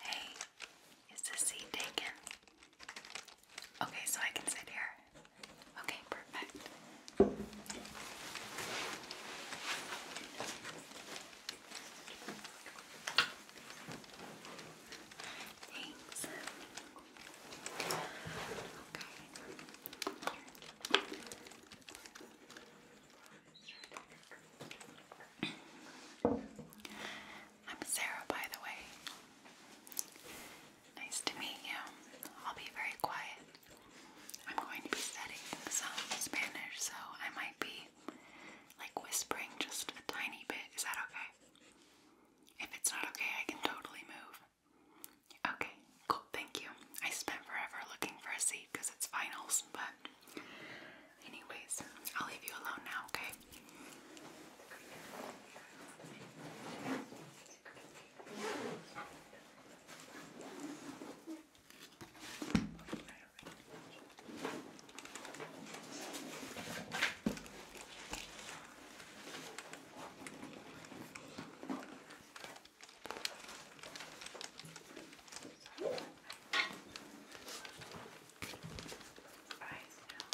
Hey, is this seat taken? Okay, so I can sit here. Okay, perfect. Thanks. Okay. I'm Sarah, by the way. Nice to meet you. I'll be very quiet. I'm going to be studying some Spanish, so I might be like whispering just a tiny bit. Is that okay? If it's not okay, I can totally move. Okay, cool, thank you. I spent forever looking for a seat because it's finals, but Anyways, I'll leave you alone now, okay? Right now.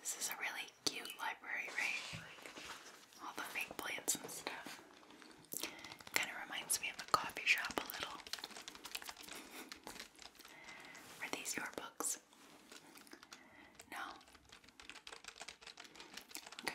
This is a really cute library, right? all the fake plants and stuff. Kind of reminds me of a coffee shop a little. Are these your books? No. Okay.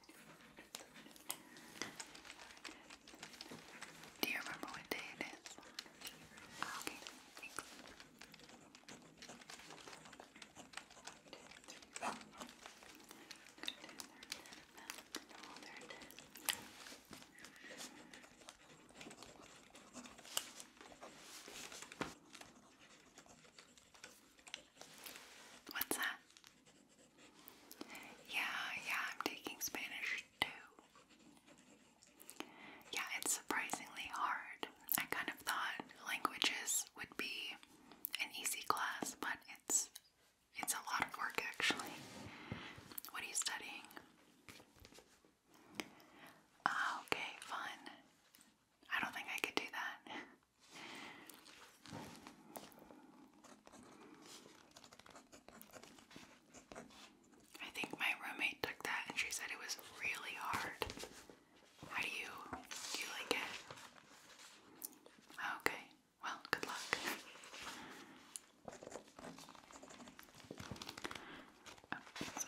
Do you remember what day it is? What's that? Yeah, yeah, I'm taking Spanish too. Yeah, it's surprisingly hard. I kind of thought languages would be an easy class, but it's it's a lot of work actually. What are you studying? Ah, okay, fun. I don't think I could do that. I think my roommate took that and she said it was really hard. How do you do you like it? Okay. Well, good luck. Oh,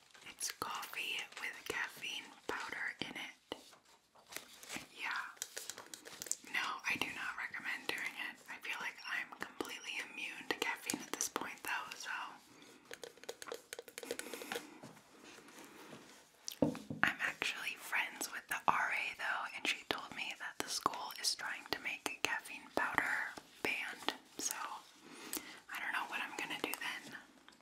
It's coffee with caffeine powder in it. Yeah. No, I do not recommend doing it. I feel like I'm completely immune to caffeine at this point, though, so. I'm actually friends with the RA, though, and she told me that the school is trying to make caffeine powder banned, so I don't know what I'm gonna do then.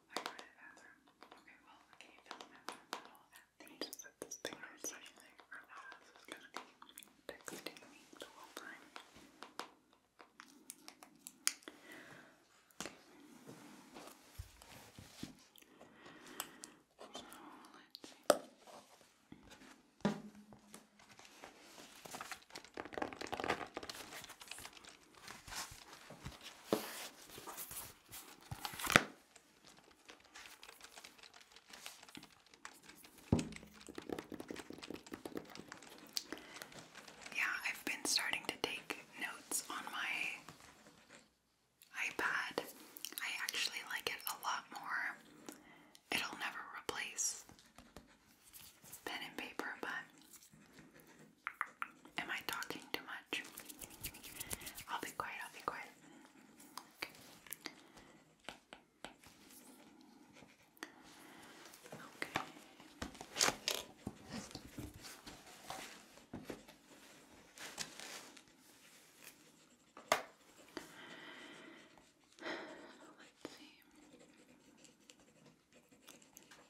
I go Okay, well, can't fill the bathroom at just put this thing on so think or gonna be texting the whole Okay. So, let's see. Yeah, I've been starting to take notes on my iPad. I actually like it a lot more. It'll never replace pen and paper, but Am I talking too much? I'll be quiet, I'll be quiet. Okay. Let's see.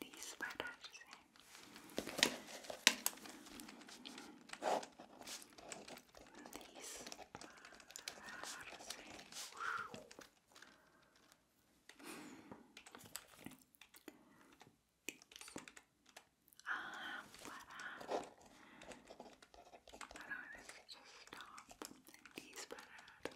these letters in. These letters in. Ah, voilà. just stop. These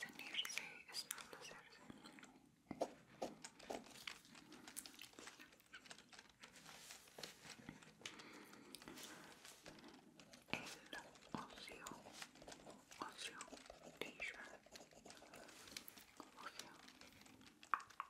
Ceñirse es protegerse. El ocio, ocio, t ocio.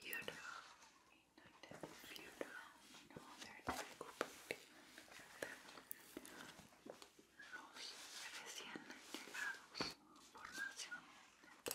Beautiful. Beautiful. Los recién llegados, formación de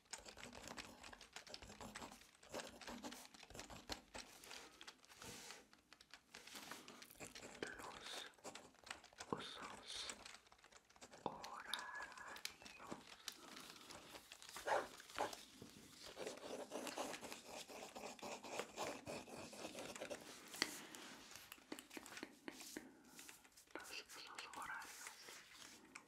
Los usos horarios. Los usos horarios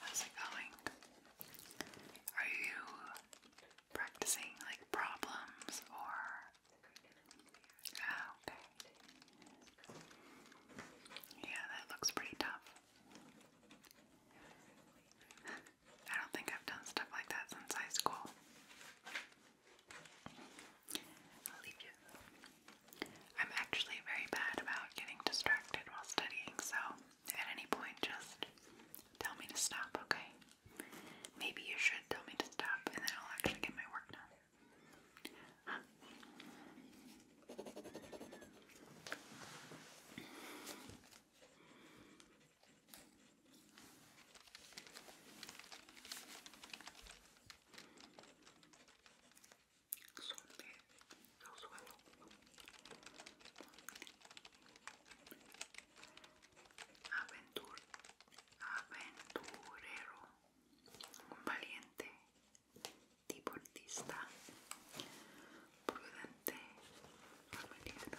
How's it going? Are you practicing like problems or? Oh, okay. Yeah, that looks pretty tough. I don't think I've done stuff like that since high school. I'll leave you. I'm actually very bad about getting distracted while studying, so at any point just tell me to stop, okay? Maybe you should tell me to stop and then I'll actually get my work done. aventurero, valiente, deportista, prudente, familiar.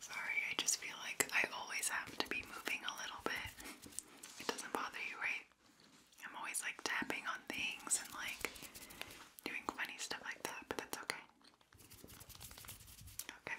Sorry, I just feel like I always have to be moving a little bit. It doesn't bother you, right? I'm always like tapping on things and like doing funny stuff like that, but that's okay. Okay.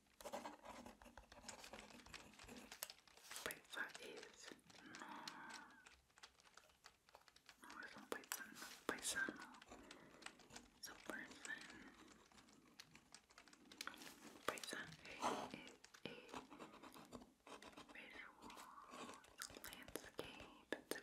Pizza is no, no es un paisano, paisano, es un person. is a visual landscape, it's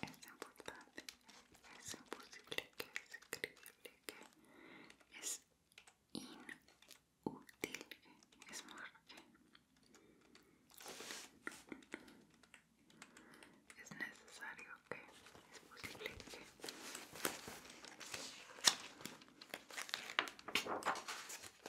Es importante, es imposible que es increíble que es inútil que es mejor es necesario que es posible que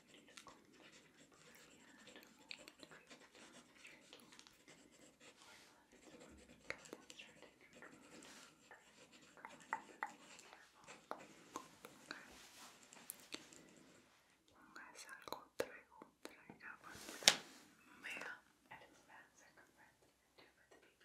Póngase algo traigo, traiga mega. It is massive compared to the baby before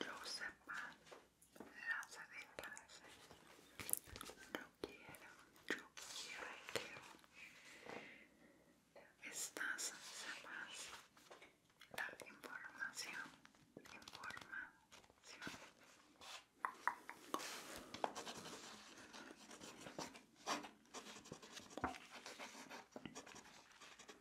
lo sepan, las adecuadas. de quiero, yo quiero yo quiero. Estas sepas la información, información.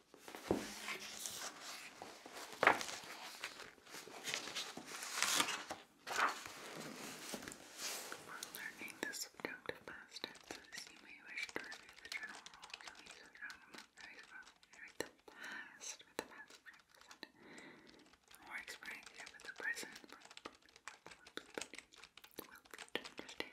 Before learning the subjunctive past tenses, you may wish to review the general rules of these acronyms as well. Read the past the past present, experience with the present will be to these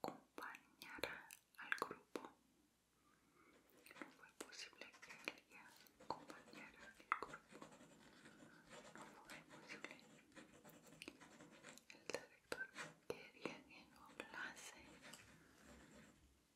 acompañar al grupo. No fue posible que acompañara al grupo. No fue posible. El director quería que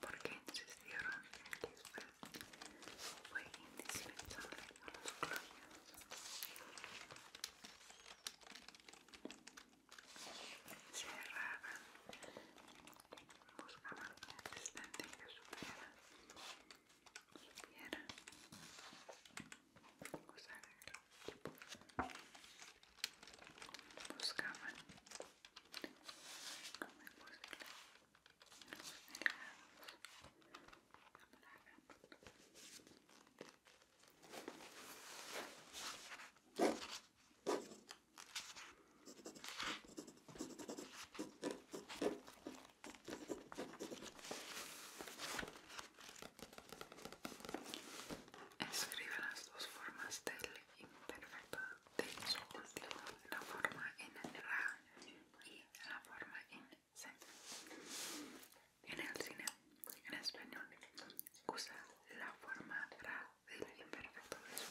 porque insistieron en que usted fue indispensable a los clones. Cerraban, buscaban un asistente que supiera, supiera usar el equipo. Buscaban, como imposible, Escribe las dos formas del imperfecto de la forma en Ra y la forma en En el cine, en español, usa la forma Ra del imperfecto de su.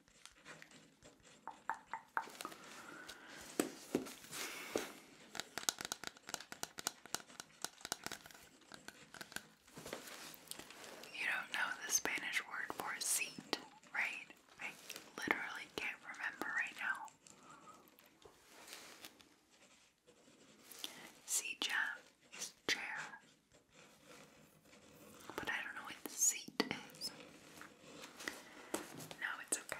You don't know the Spanish word for seat, right? I literally can't remember right now. Silla is chair. But I don't know where the seat is. No, it's okay.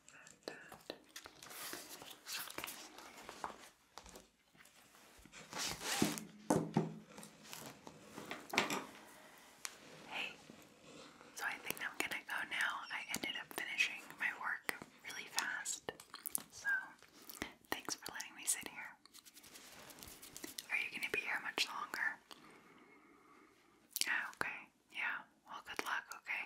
and Hey, so I think I'm gonna go now. I ended up finishing my work really fast, so thanks for letting me sit here. Are you gonna be here much longer? Yeah, okay. Yeah, well, good luck, okay?